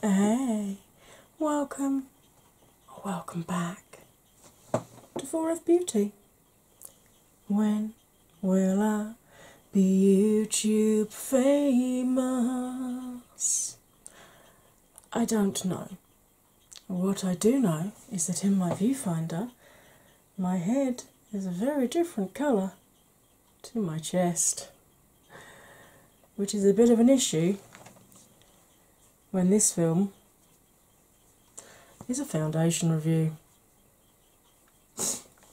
Hey, welcome welcome back to Four of Beauty. When will I be YouTube famous? I don't know. What I do know is that in my viewfinder, my head is a very different colour to my chest, which is a bit of an issue when this film is a foundation review.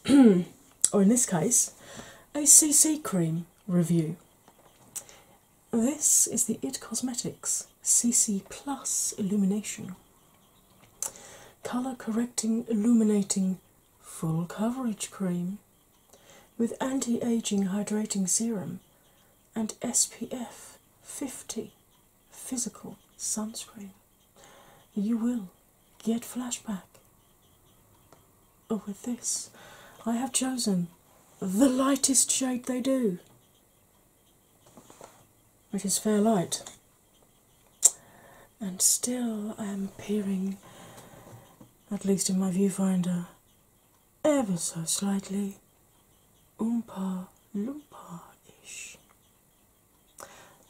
or in this case, a CC cream review. This is the It Cosmetics CC Plus Illumination. Colour correcting, illuminating, full coverage cream with anti aging hydrating serum and SPF 50 physical sunscreen you will get flashback. But oh, with this, I have chosen the lightest shade they do, It is Fair Light. And still, I am peering, at least in my viewfinder, ever so slightly Oompa Loompa ish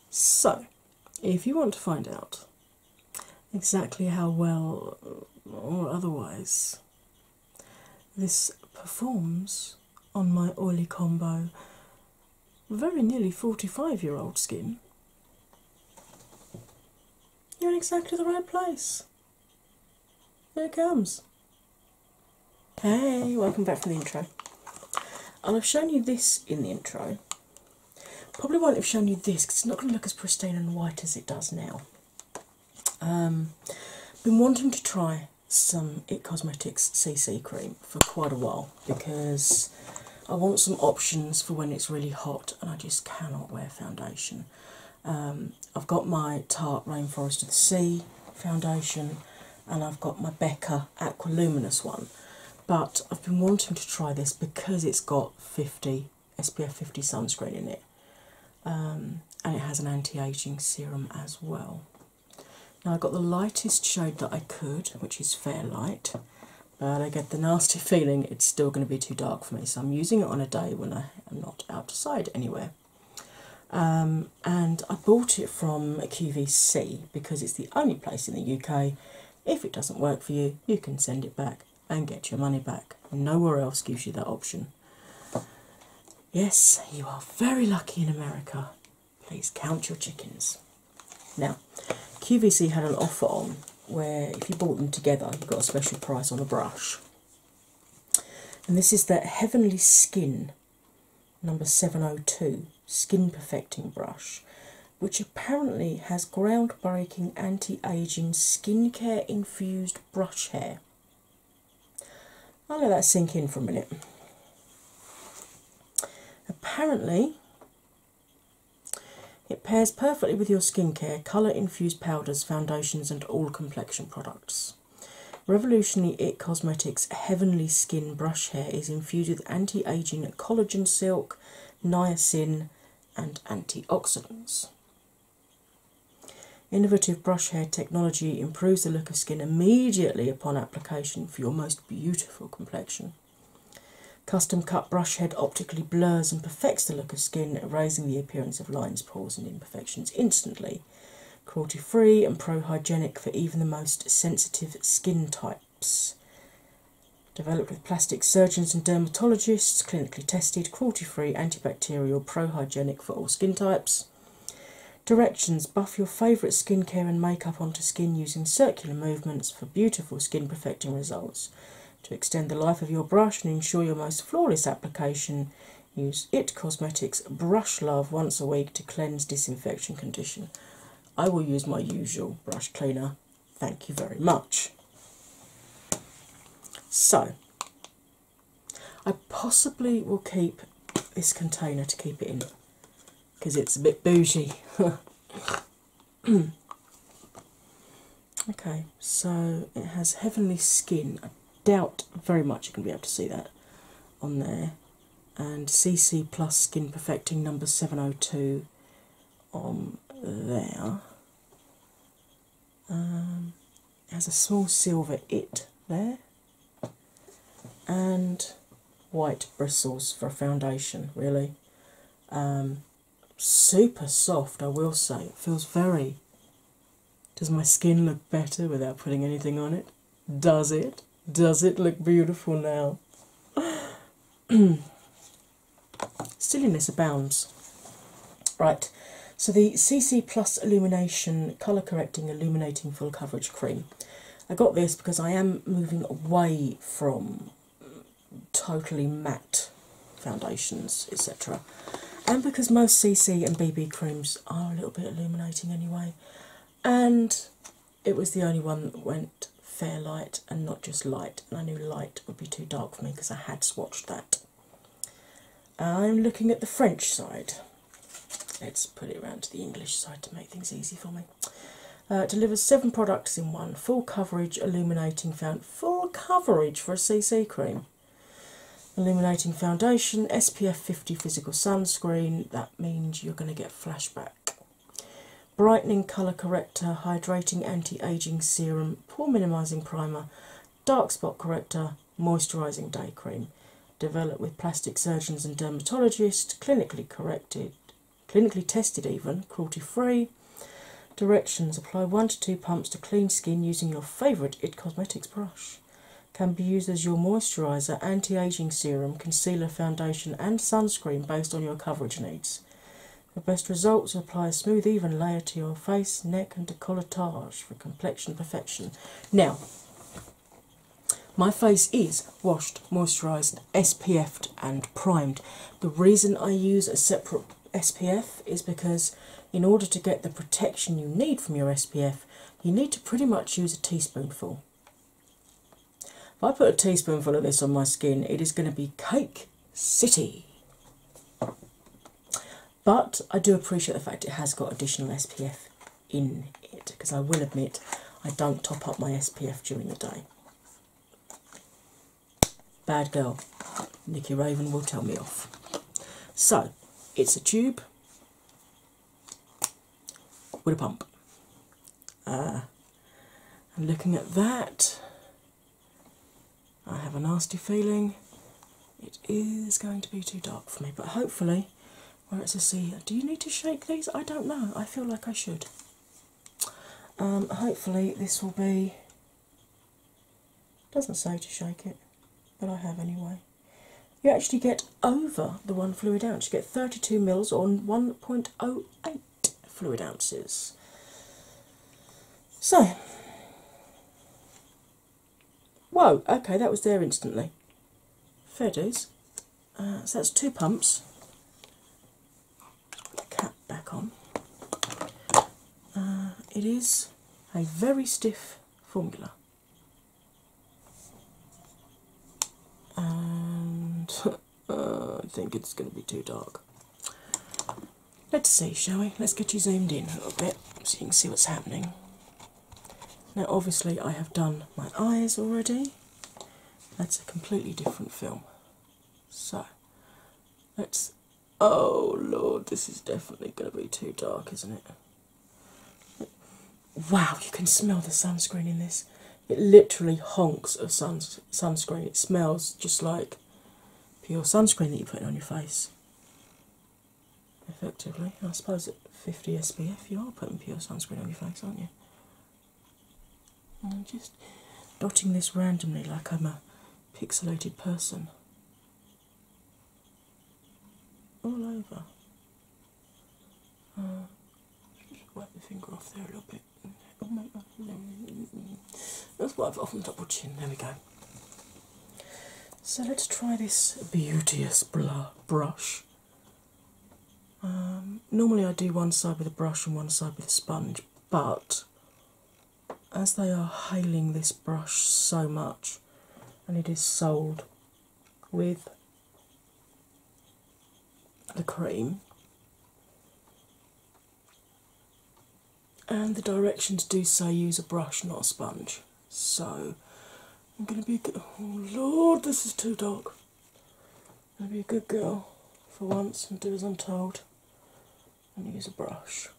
so, if you want to find out exactly how well or otherwise this performs on my oily combo, very nearly 45 year old skin, you're in exactly the right place. Here it comes. Hey, welcome back from the intro. i have shown you this in the intro. Probably won't have shown you this because it's not going to look as pristine and white as it does now. Um, been wanting to try some It Cosmetics CC cream for quite a while because I want some options for when it's really hot and I just cannot wear foundation. Um, I've got my Tarte Rainforest of the Sea foundation and I've got my Becca Aqua Luminous one. But I've been wanting to try this because it's got 50 SPF 50 sunscreen in it, um, and it has an anti aging serum as well. Now, I have got the lightest shade that I could, which is Fair Light, but I get the nasty feeling it's still going to be too dark for me, so I'm using it on a day when I am not outside anywhere. Um, and I bought it from QVC because it's the only place in the UK. If it doesn't work for you, you can send it back and get your money back. Nowhere else gives you that option. Yes, you are very lucky in America. Please count your chickens. Now, QVC had an offer on where if you bought them together, you got a special price on a brush. And this is the Heavenly Skin number 702 Skin Perfecting Brush, which apparently has groundbreaking anti aging skincare infused brush hair. I'll let that sink in for a minute. Apparently, it pairs perfectly with your skincare, colour infused powders, foundations, and all complexion products. Revolutionary It Cosmetics Heavenly Skin Brush Hair is infused anti-aging collagen silk, niacin, and antioxidants. Innovative brush head technology improves the look of skin immediately upon application for your most beautiful complexion. Custom cut brush head optically blurs and perfects the look of skin, raising the appearance of lines, pores, and imperfections instantly. Cruelty free and pro hygienic for even the most sensitive skin type. Developed with plastic surgeons and dermatologists, clinically tested, cruelty free, antibacterial, pro-hygienic for all skin types. Directions Buff your favourite skincare and makeup onto skin using circular movements for beautiful skin perfecting results. To extend the life of your brush and ensure your most flawless application, use It Cosmetics Brush Love once a week to cleanse, disinfection, condition. I will use my usual brush cleaner. Thank you very much. So, I possibly will keep this container to keep it in because it's a bit bougie. okay, so it has Heavenly Skin. I doubt very much you can be able to see that on there and CC Plus Skin Perfecting number 702 on there. Um, has a small silver it there, and white bristles for a foundation, really. Um, super soft, I will say. It feels very. Does my skin look better without putting anything on it? Does it? Does it look beautiful now? Silliness abounds. Right, so the CC Plus Illumination Colour Correcting Illuminating Full Coverage Cream. I got this because I am moving away from totally matte foundations, etc. And because most CC and BB creams are a little bit illuminating anyway, and it was the only one that went fair light and not just light, and I knew light would be too dark for me because I had swatched that. I'm looking at the French side. Let's put it around to the English side to make things easy for me. Uh, delivers seven products in one full coverage illuminating found full coverage for a CC cream. Illuminating foundation, SPF 50 physical sunscreen. That means you're going to get flashback Brightening Colour Corrector, Hydrating Anti Aging Serum, Pore Minimizing Primer, Dark Spot Corrector, Moisturizing Day Cream. Developed with plastic surgeons and dermatologists, clinically corrected, clinically tested even, cruelty free. Directions apply one to two pumps to clean skin using your favourite IT Cosmetics brush. Can be used as your moisturiser, anti aging serum concealer, foundation, and sunscreen based on your coverage needs. For best results, apply a smooth, even layer to your face, neck, and decolletage for complexion perfection. Now, my face is washed, moisturised, SPF'd, and primed. The reason I use a separate SPF is because, in order to get the protection you need from your SPF, you need to pretty much use a teaspoonful. If I put a teaspoonful of this on my skin, it is going to be cake city. But I do appreciate the fact it has got additional SPF in it because I will admit I don't top up my SPF during the day. Bad girl, Nikki Raven will tell me off. So it's a tube, with a pump. Uh, ah. and looking at that, I have a nasty feeling it is going to be too dark for me, but hopefully, where it's a C, do you need to shake these? I don't know, I feel like I should. Um, hopefully, this will be. Doesn't say to shake it, but I have anyway. You actually get over the one fluid ounce. You get 32 mils on 1.08 fluid ounces. So, whoa, okay, that was there instantly. Fair dues. Uh, so that's two pumps. Cap back on. Uh, it is a very stiff formula. And Uh, I think it's going to be too dark. Let's see, shall we? Let's get you zoomed in a little bit so you can see what's happening. Now, obviously, I have done my eyes already. That's a completely different film. So, let's. Oh lord, this is definitely going to be too dark, isn't it? Wow, you can smell the sunscreen in this. It literally honks of sunscreen sunscreen. It smells just like pure sunscreen that you're putting on your face. Effectively, I suppose at 50 SPF you are putting pure sunscreen on your face, aren't you? And I'm just dotting this randomly like I'm a pixelated person. All over. Uh, wipe the finger off there a little bit. Oh, let's wipe it off on top of chin. There we go. So let's try this beauteous blur brush. Um, normally I do one side with a brush and one side with a sponge, but as they are hailing this brush so much and it is sold with the cream. And the directions do say use a brush, not a sponge. So I'm going to be. Oh Lord, this is too dark. I'm going to be a good girl for once and do as I'm told and use a brush.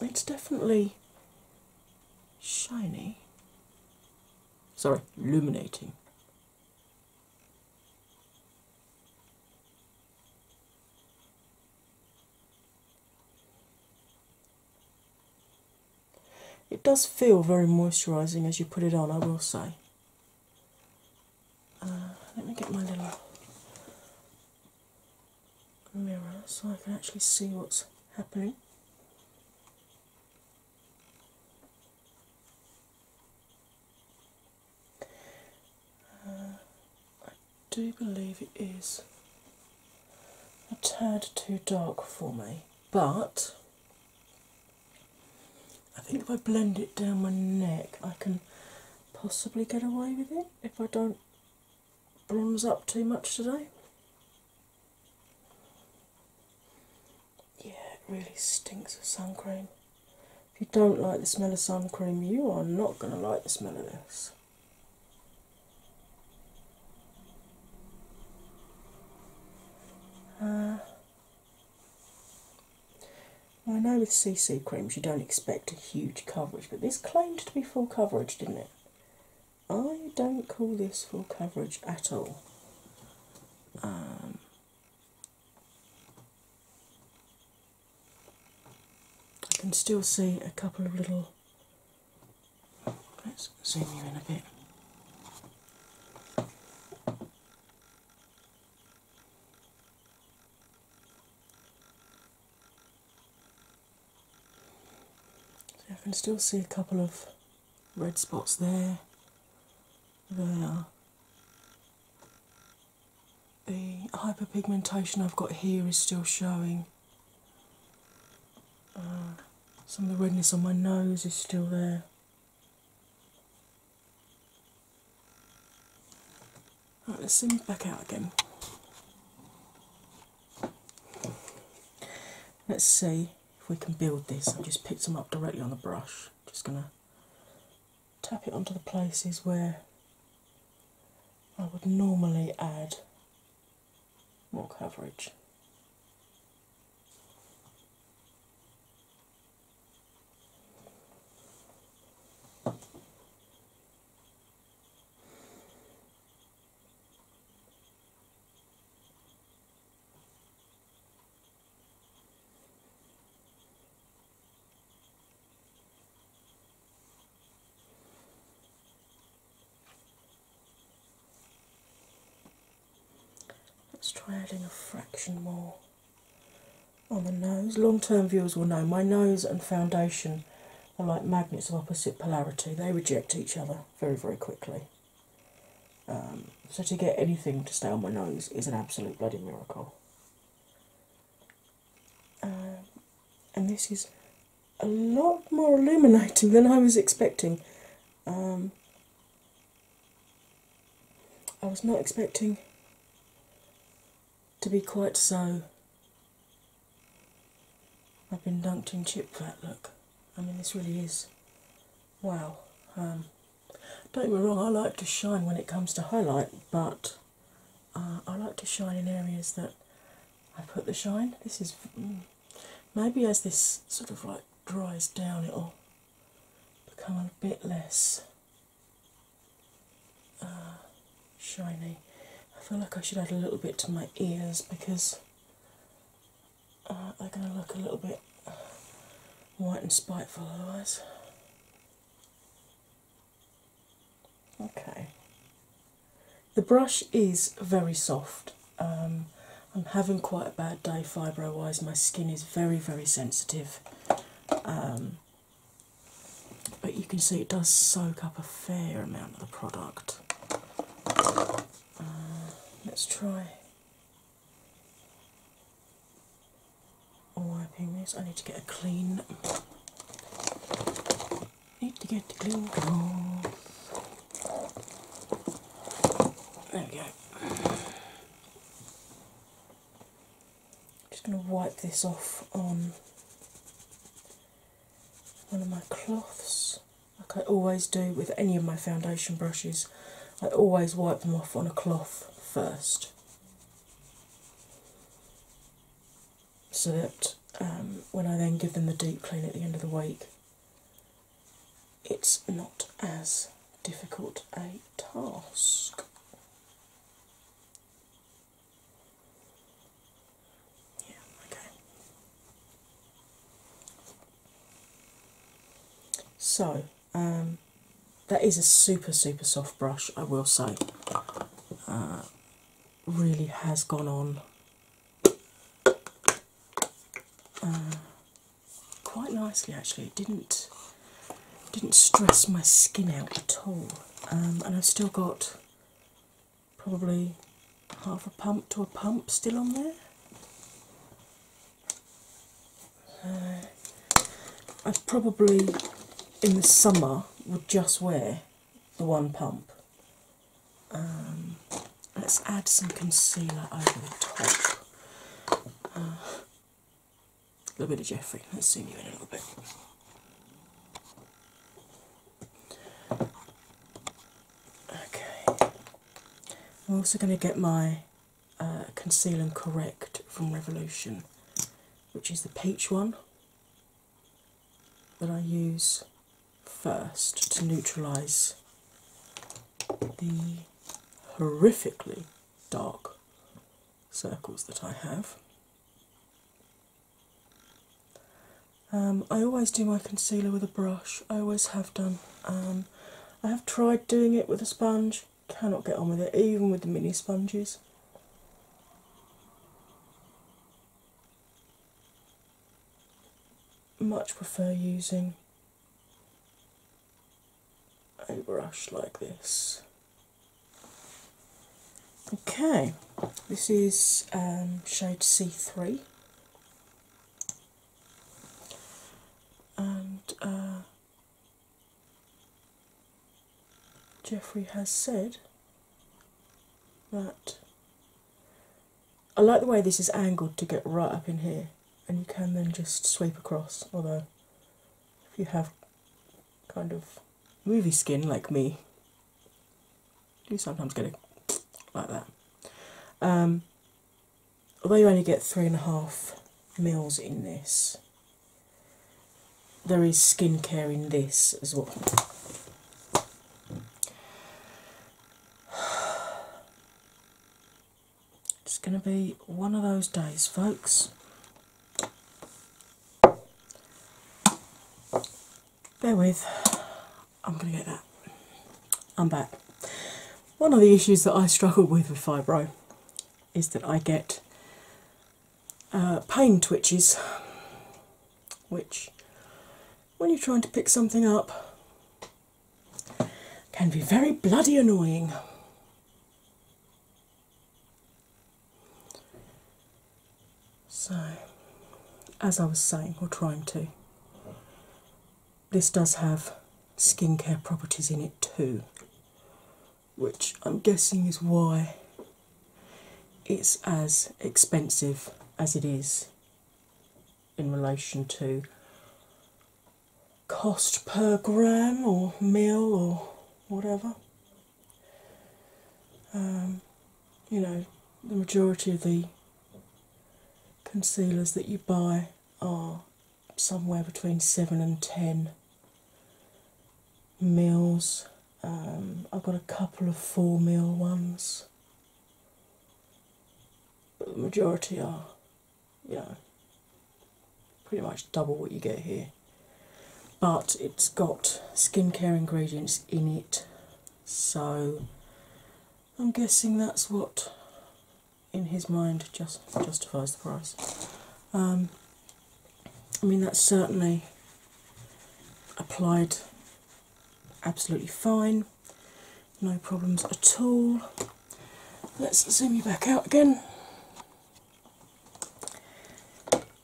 It's definitely shiny. Sorry, illuminating. It does feel very moisturising as you put it on, I will say. Uh, let me get my little mirror so I can actually see what's happening. Uh, I do believe it is a tad too dark for me, but I think if I blend it down my neck, I can possibly get away with it if I don't brims up too much today. Yeah, it really stinks of sun cream. If you don't like the smell of sun cream, you are not going to like the smell of this. Uh, I know with CC creams you don't expect a huge coverage, but this claimed to be full coverage, didn't it? I don't call this full coverage at all. Um, I can still see a couple of little. Let's zoom you in a bit. So I can still see a couple of red spots there, there. The hyperpigmentation I've got here is still showing. Uh, some of the redness on my nose is still there. Right, let's zoom back out again. Let's see if we can build this, I've just picked them up directly on the brush. Just going to tap it onto the places where I would normally add more coverage. Let's try adding a fraction more on the nose. Long term viewers will know my nose and foundation are like magnets of opposite polarity, they reject each other very, very quickly. Um, so to get anything to stay on my nose is an absolute bloody miracle. Um, and this is a lot more illuminating than I was expecting. Um, I was not expecting to be quite so. I've been dunked in chip fat, look. I mean, this really is wow. Um, don't get me wrong, I like to shine when it comes to highlight, but uh, I like to shine in areas that I put the shine. This is mm, maybe as this sort of like dries down, it'll become a bit less uh, shiny. I feel like I should add a little bit to my ears because uh, they're going to look a little bit white and spiteful otherwise. Okay. The brush is very soft. Um, I'm having quite a bad day fibro wise. My skin is very, very sensitive. Um, but you can see it does soak up a fair amount of the product. Uh, let's try wiping this. I need to get a clean. Need to get a clean There we go. I'm just going to wipe this off on one of my cloths like I always do with any of my foundation brushes, I always wipe them off on a cloth first so that um, when I then give them the deep clean at the end of the week, it's not as difficult a task. Yeah, okay. So um, that is a super super soft brush, I will say. Uh, really has gone on uh, quite nicely actually. It didn't didn't stress my skin out at all, um, and I've still got probably half a pump to a pump still on there. Uh, I probably in the summer would just wear the one pump. Um, let's add some concealer over the top. Uh, a little bit of Jeffrey. Let's zoom you in a little bit. Okay. I'm also going to get my uh, Conceal and Correct from Revolution, which is the peach one that I use first to neutralise the horrifically dark circles that I have. Um, I always do my concealer with a brush, I always have done. Um, um, I have tried doing it with a sponge, cannot get on with it, even with the mini sponges. Much prefer using a brush like this. Okay, this is um, shade C3 and uh, Jeffrey has said that I like the way this is angled to get right up in here, and you can then just sweep across. Although, if you have kind of movie skin like me, you sometimes get it like that. Um, although you only get three and a half mils in this, there is skincare in this as well. It's going to be one of those days, folks. Bear with, I'm going to get that. I'm back. One of the issues that I struggle with with fibro is that I get uh, pain twitches, which, when you're trying to pick something up, can be very bloody annoying. So, as I was saying, or trying to, this does have skincare properties in it too, which I'm guessing is why it's as expensive as it is in relation to cost per gram or mill or whatever. Um, you know, the majority of the concealers that you buy are somewhere between seven and ten meals. Um, I've got a couple of four meal ones, but the majority are, you know, pretty much double what you get here. But it's got skincare ingredients in it, so I'm guessing that's what in his mind just justifies the price. Um, I mean, that's certainly applied absolutely fine, no problems at all. Let's zoom you back out again.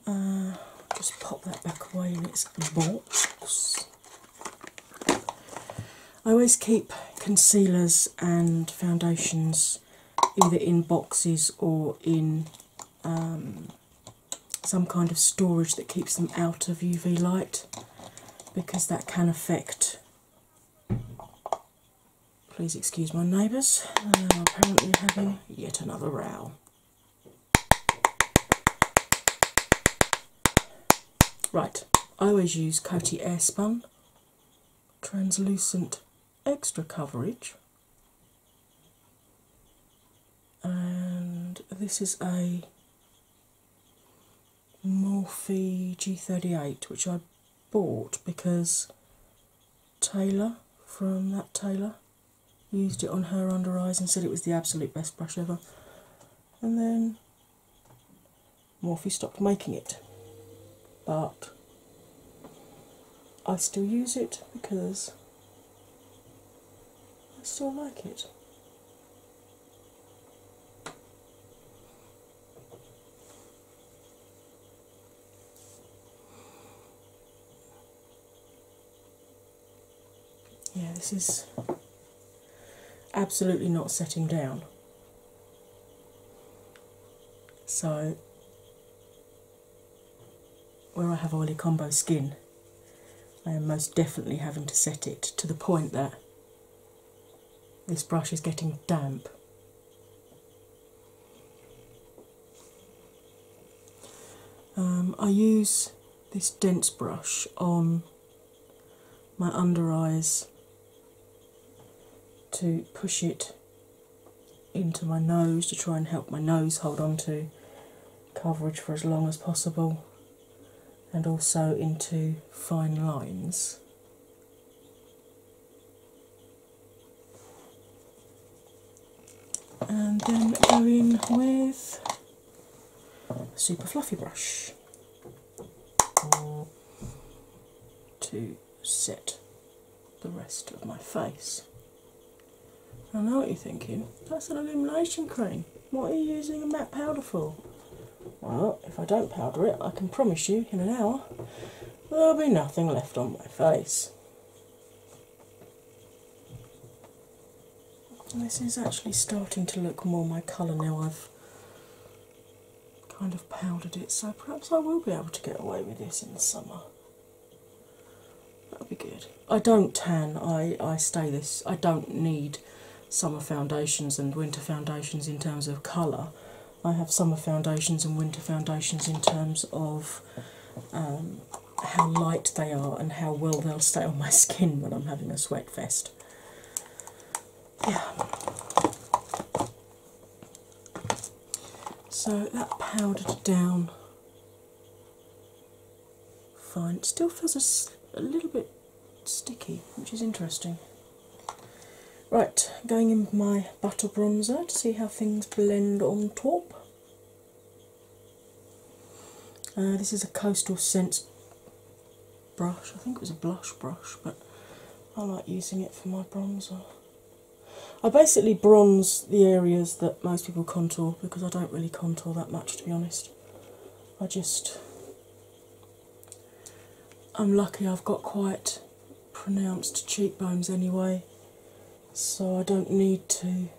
Uh, just pop that back away in its box. I always keep concealers and foundations either in boxes or in um, some kind of storage that keeps them out of UV light because that can affect. Please excuse my neighbours, um, apparently having yet another row. Right, I always use Coty Airspun translucent extra coverage, and this is a Morphe G38, which I bought because Taylor from that Taylor used it on her under eyes and said it was the absolute best brush ever. And then Morphe stopped making it, but I still use it because I still like it. Yeah, this is absolutely not setting down. So, where I have oily combo skin, I am most definitely having to set it to the point that this brush is getting damp. Um, I use this dense brush on my under eyes to push it into my nose to try and help my nose hold on to coverage for as long as possible and also into fine lines. And then go in with a super fluffy brush to set the rest of my face. I know what you're thinking. That's an illumination cream. What are you using a matte powder for? Well, if I don't powder it, I can promise you in an hour there'll be nothing left on my face. this is actually starting to look more my colour now I've kind of powdered it, so perhaps I will be able to get away with this in the summer. that would be good. I don't tan, I, I stay this, I don't need summer foundations and winter foundations in terms of colour. I have summer foundations and winter foundations in terms of um, how light they are and how well they'll stay on my skin when I'm having a sweat fest yeah. So that powdered down fine. still feels a, a little bit sticky, which is interesting. Right, going in with my butter bronzer to see how things blend on top. Uh, this is a Coastal scent brush. I think it was a blush brush, but I like using it for my bronzer. I basically bronze the areas that most people contour because I don't really contour that much to be honest. I just. I'm lucky I've got quite pronounced cheekbones anyway, so I don't need to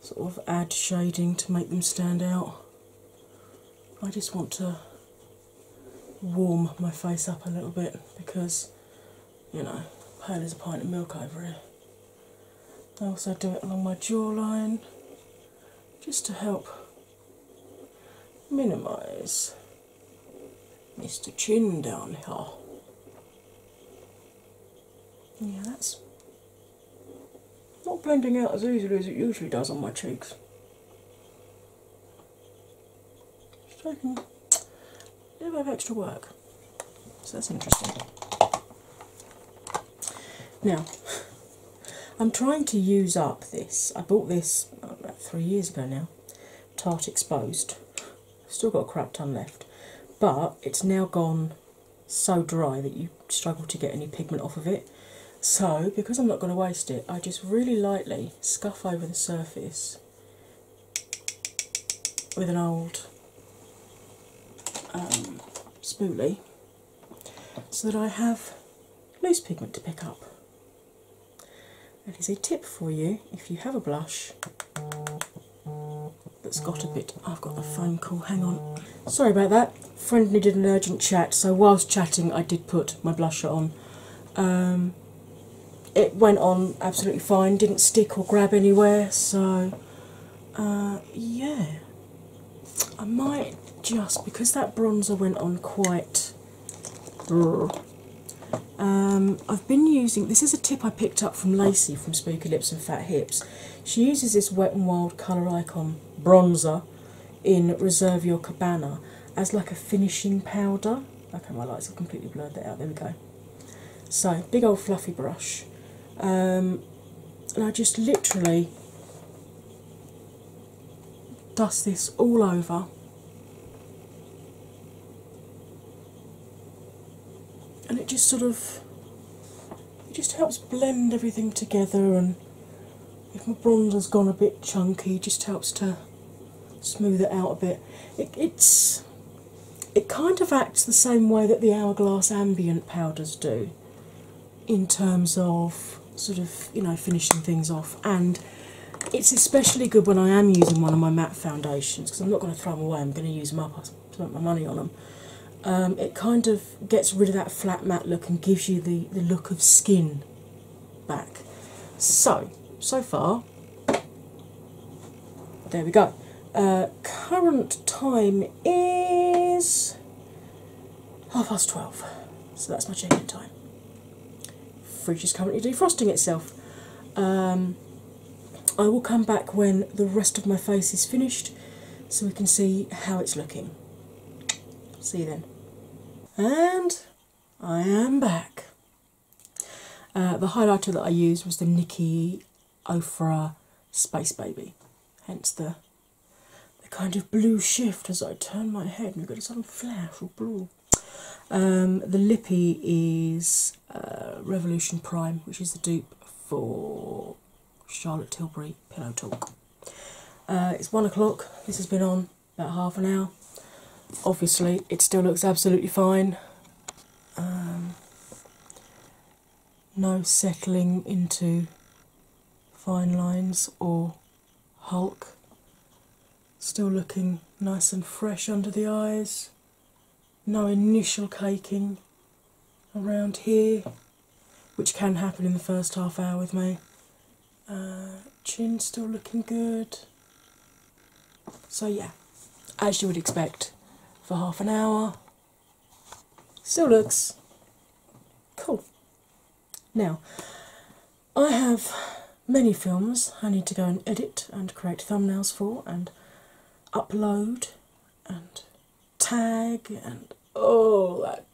sort of add shading to make them stand out. I just want to warm my face up a little bit because you know, pale is a pint of milk over here. I also do it along my jawline just to help minimize Mr. Chin down here. Yeah, that's not blending out as easily as it usually does on my cheeks. Taking a bit of extra work, so that's interesting. Now, I'm trying to use up this. I bought this oh, about three years ago now, Tart Exposed. Still got a crap ton left, but it's now gone so dry that you struggle to get any pigment off of it. So, because I'm not going to waste it, I just really lightly scuff over the surface with an old um, spoolie so that I have loose pigment to pick up. That is a tip for you if you have a blush that's got a bit. I've got a phone call, hang on. Sorry about that. Friend needed an urgent chat, so whilst chatting, I did put my blusher on um, it went on absolutely fine, didn't stick or grab anywhere, so uh, yeah. I might just because that bronzer went on quite. Um, I've been using this is a tip I picked up from Lacey from Spooky Lips and Fat Hips. She uses this Wet n Wild Colour Icon bronzer in Reserve Your Cabana as like a finishing powder. Okay, my lights have completely blurred that out. There we go. So, big old fluffy brush. Um, and I just literally dust this all over. And it just sort of it just helps blend everything together and if my bronzer's gone a bit chunky, just helps to smooth it out a bit. It, it's it kind of acts the same way that the Hourglass ambient powders do, in terms of sort of you know finishing things off, and it's especially good when I am using one of my matte foundations because I'm not going to throw them away. I'm going to use them up. I spent my money on them. Um, it kind of gets rid of that flat matte look and gives you the, the look of skin back. So, so far, there we go. Uh, current time is half past 12, so that's my check time. Fridge is currently defrosting itself. Um, I will come back when the rest of my face is finished so we can see how it's looking. See you then. And I am back. Uh, the highlighter that I used was the Nikki Ofra Space Baby, hence the the kind of blue shift as I turn my head and have got this little flash or blue. Um, the lippy is uh, Revolution Prime, which is the dupe for Charlotte Tilbury Pillow Talk. Uh, it's one o'clock. This has been on about half an hour. Obviously, it still looks absolutely fine. Um, no settling into fine lines or hulk. Still looking nice and fresh under the eyes. No initial caking around here, which can happen in the first half hour with me. Uh, chin still looking good. So, yeah, as you would expect for half an hour, still looks cool. Now, I have many films I need to go and edit and create thumbnails for, and upload and tag and all that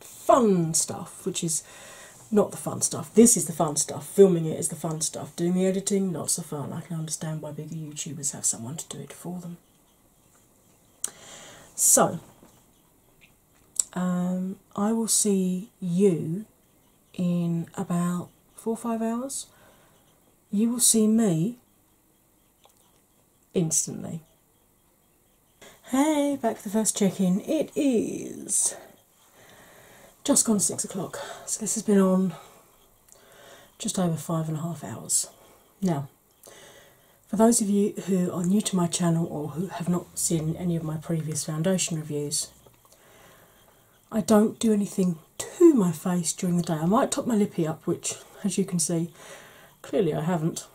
fun stuff, which is not the fun stuff. This is the fun stuff. Filming it is the fun stuff. Doing the editing, not so fun. I can understand why bigger YouTubers have someone to do it for them. So, um, I will see you in about four or five hours. You will see me instantly. Hey, back for the first check in. It is just gone six o'clock, so this has been on just over five and a half hours. Now, for those of you who are new to my channel or who have not seen any of my previous foundation reviews, I don't do anything to my face during the day. I might top my lippy up, which, as you can see, clearly I haven't.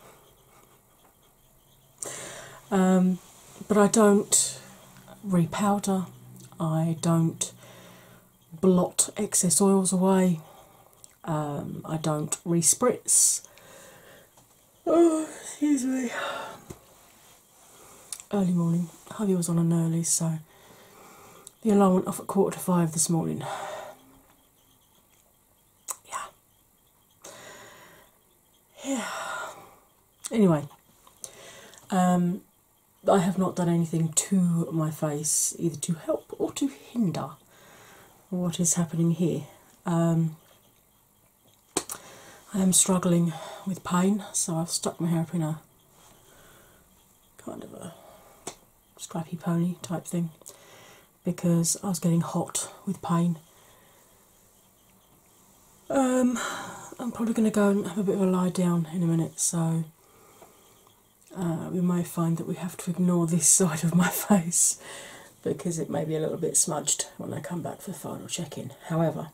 Um, but I don't repowder, I don't blot excess oils away, um, I don't respritz. Oh, excuse me. Early morning. Harvey was on an early, so the alarm went off at quarter to five this morning. Yeah yeah. Anyway, um, I have not done anything to my face either to help or to hinder what is happening here. Um, I am struggling with pain, so I've stuck my hair up in a kind of a scrappy pony type thing because I was getting hot with pain um, I'm probably going to go and have a bit of a lie down in a minute, so uh, we may find that we have to ignore this side of my face because it may be a little bit smudged when I come back for the final check in. However,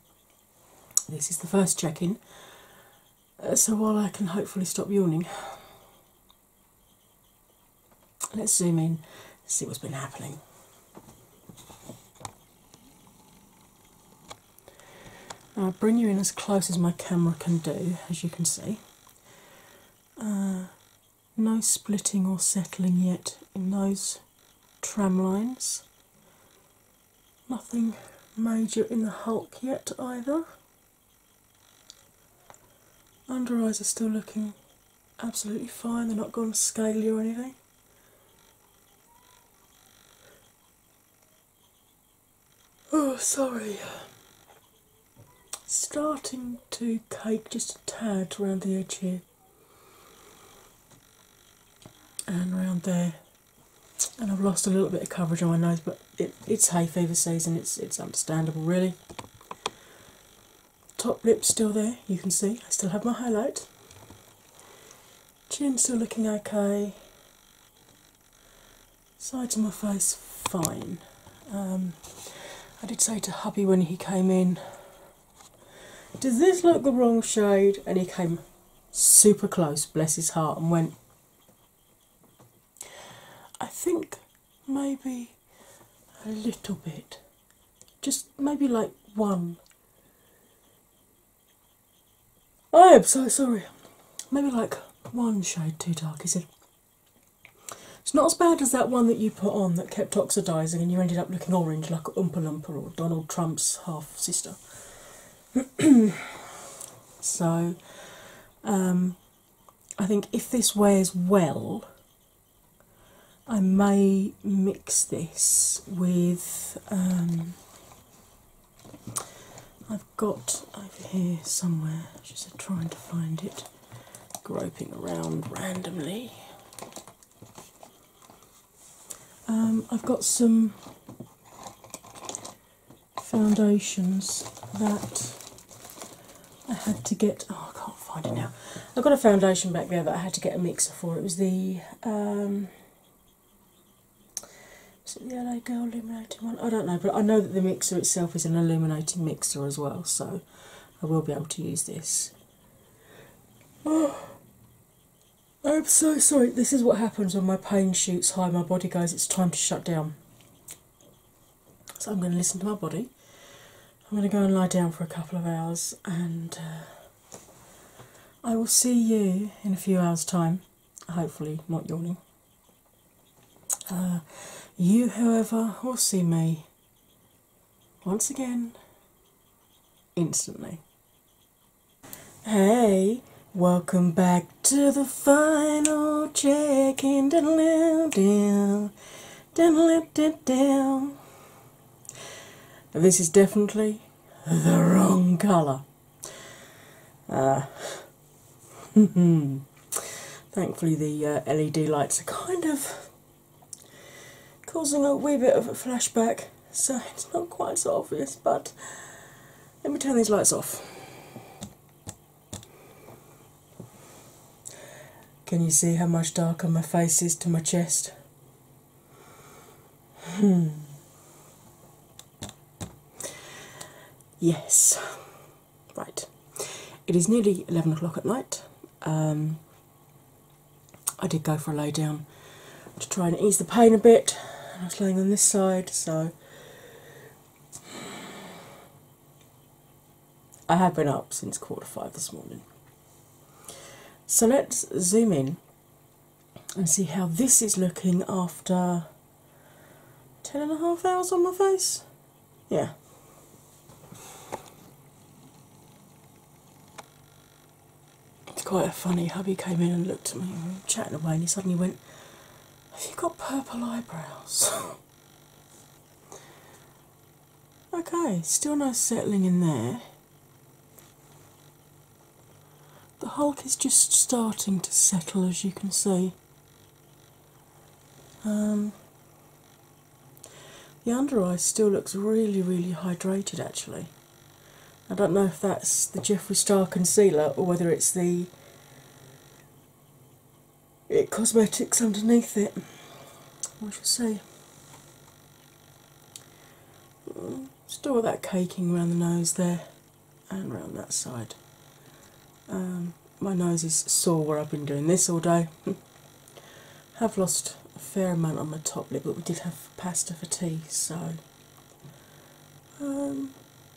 this is the first check in, uh, so while I can hopefully stop yawning, let's zoom in see what's been happening. I'll bring you in as close as my camera can do, as you can see. Uh, no splitting or settling yet in those tram lines. Nothing major in the hulk yet either. Under eyes are still looking absolutely fine, they're not gone scaly or anything. Oh, sorry. Starting to cake just a tad around the edge here and around there. And I've lost a little bit of coverage on my nose, but it's hay fever season, it's, it's understandable really. Top lip still there, you can see. I still have my highlight. Chin still looking okay. Sides of my face fine. Um, I did say to hubby when he came in, does this look the wrong shade? And he came super close, bless his heart, and went, I think maybe a little bit, just maybe like one Oh, I am so sorry. Maybe like one shade too dark, he said. It's not as bad as that one that you put on that kept oxidising and you ended up looking orange like Oompa Loompa or Donald Trump's half sister. so, um, I think if this wears well, I may mix this with um, I've got over here somewhere, just trying to find it, groping around randomly. Um, I've got some foundations that I had to get. Oh, I can't find it now. I've got a foundation back there that I had to get a mixer for. It was the um, is it the LA Girl illuminating one? I don't know, but I know that the mixer itself is an illuminating mixer as well, so I will be able to use this. Oh, I'm so sorry. This is what happens when my pain shoots high. My body goes, it's time to shut down. So I'm going to listen to my body. I'm going to go and lie down for a couple of hours and. Uh, I will see you in a few hours' time, hopefully, not yawning. Uh, you, however, will see me once again instantly. Hey, welcome back to the final check in. This is definitely the wrong colour. Uh, thankfully, the uh, LED lights are kind of causing a wee bit of a flashback, so it's not quite so obvious. But let me turn these lights off. Can you see how much darker my face is to my chest? Hmm. Yes, right. It is nearly 11 o'clock at night. Um, I did go for a lay down to try and ease the pain a bit. I was laying on this side, so I have been up since quarter five this morning. So let's zoom in and see how this is looking after 10 and a half hours on my face. Yeah. It's quite a funny hubby came in and looked at me chatting away and he suddenly went, Have you got purple eyebrows? okay, still no settling in there. The Hulk is just starting to settle, as you can see. Um, the under eye still looks really, really hydrated actually. I don't know if that's the Jeffree Star concealer or whether it's the it cosmetics underneath it. We should see. Mm. Still that caking around the nose there and around that side. Um, my nose is sore where I've been doing this all day. have lost a fair amount on my top lip, but we did have pasta for tea, so um,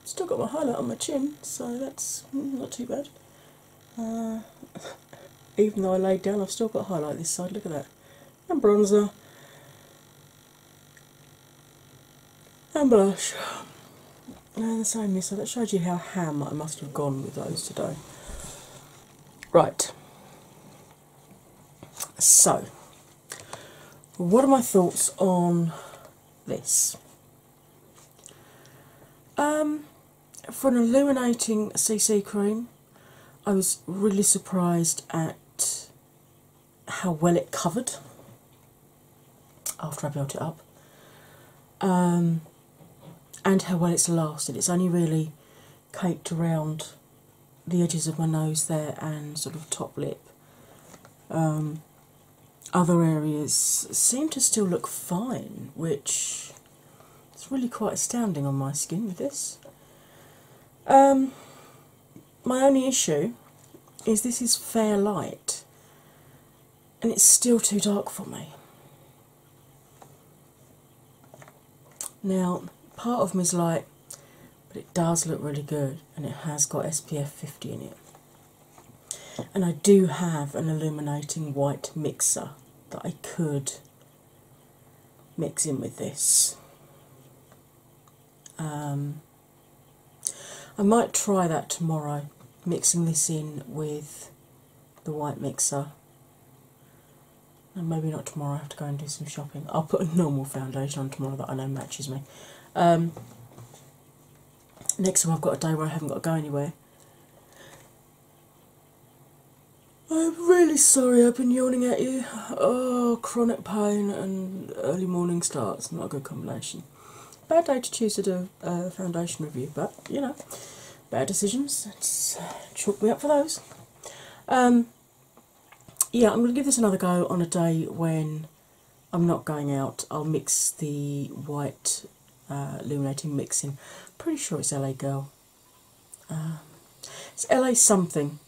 still got my highlight on my chin, so that's mm, not too bad. Uh, even though I laid down, I've still got highlight this side. Look at that and bronzer and blush and the same so that showed you how ham I must have gone with those today right so what are my thoughts on this um, for an illuminating CC cream I was really surprised at how well it covered after I built it up, um, and how well it's lasted. It's only really caked around the edges of my nose there and sort of top lip. Um, other areas seem to still look fine, which is really quite astounding on my skin with this. Um, my only issue is this is fair light and it's still too dark for me. Now, part of me is like, but it does look really good and it has got SPF 50 in it. And I do have an illuminating white mixer that I could mix in with this. Um, I might try that tomorrow, mixing this in with the white mixer. And maybe not tomorrow, I have to go and do some shopping. I'll put a normal foundation on tomorrow that I know matches me. Um, next time I've got a day where I haven't got to go anywhere. I'm really sorry I've been yawning at you. Oh, chronic pain and early morning starts. Not a good combination. Bad day to choose to do a foundation review, but you know, bad decisions. chalk me up for those. Um, yeah, I'm going to give this another go on a day when I'm not going out. I'll mix the white uh, illuminating mixing. Pretty sure it's LA Girl. Um, it's LA something.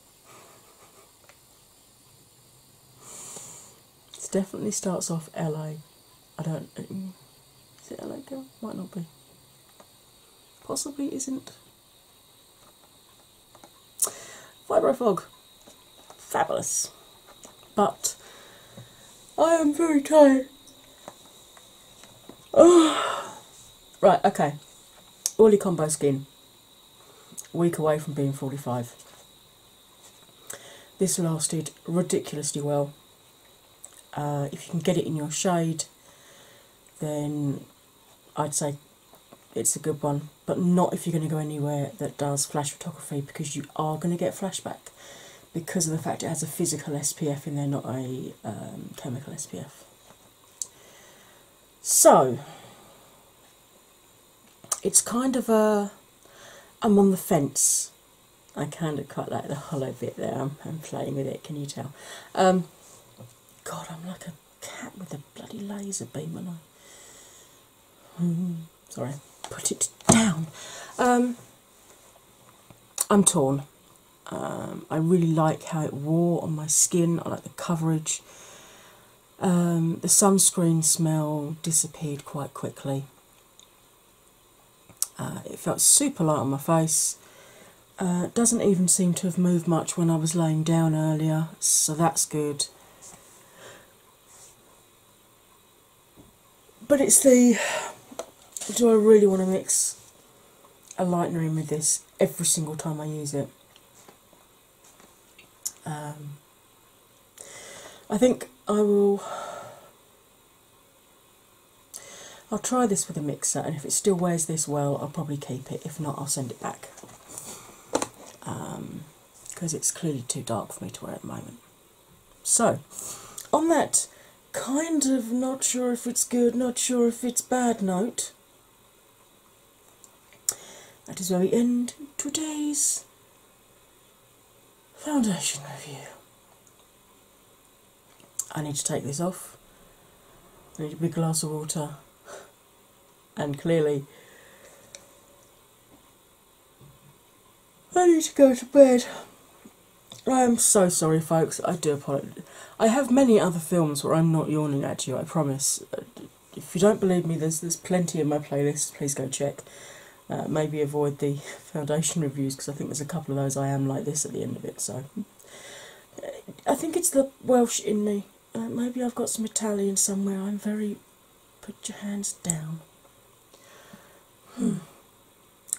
It definitely starts off LA. I don't. Is it LA girl? Might not be. Possibly isn't. Fibro fog. Fabulous. But I am very tired. Right, okay. Oily combo skin week away from being 45. This lasted ridiculously well. Uh, if you can get it in your shade, then I'd say it's a good one, but not if you're going to go anywhere that does flash photography because you are going to get flashback because of the fact it has a physical SPF in there, not a um, chemical SPF. So, it's kind of a I'm on the fence. I kind of quite like the hollow bit there. I'm, playing with it. Can you tell? Um, God, I'm like a cat with a bloody laser beam, and I. Mm, sorry, put it down. Um, I'm torn. Um, I really like how it wore on my skin. I like the coverage. Um, the sunscreen smell disappeared quite quickly. Uh, it felt super light on my face. Uh, doesn't even seem to have moved much when I was laying down earlier, so that's good. But it's the do I really want to mix a lightener in with this every single time I use it? Um, I think I will. I'll try this with a mixer, and if it still wears this well, I'll probably keep it. If not, I'll send it back because um, it's clearly too dark for me to wear at the moment. So, on that kind of not sure if it's good, not sure if it's bad note, that is where we end today's foundation review. I need to take this off. I need a big glass of water, and clearly, I need to go to bed. I am so sorry, folks. I do apologize. I have many other films where I'm not yawning at you, I promise. Uh, if you don't believe me, there's there's plenty in my playlist. Please go check. Uh, maybe avoid the foundation reviews because I think there's a couple of those I am like this at the end of it. So I think it's the Welsh in me. Uh, maybe I've got some Italian somewhere. I'm very put your hands down. Hmm.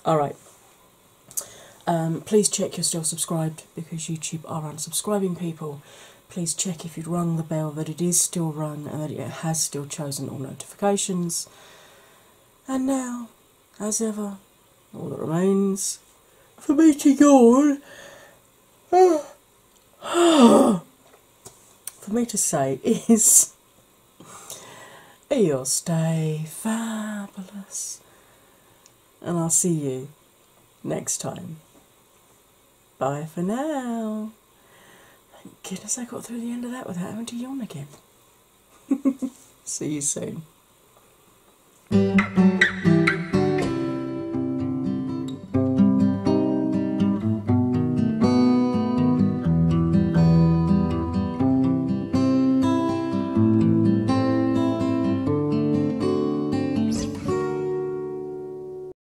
All right. Um, please check you're still subscribed because YouTube are unsubscribing people. Please check if you'd rung the bell that it is still rung and that it has still chosen all notifications. And now, as ever, all that remains for me to yawn. for me to say is you'll stay fabulous and I'll see you next time. Bye for now. Thank goodness I got through the end of that without having to yawn again. See you soon.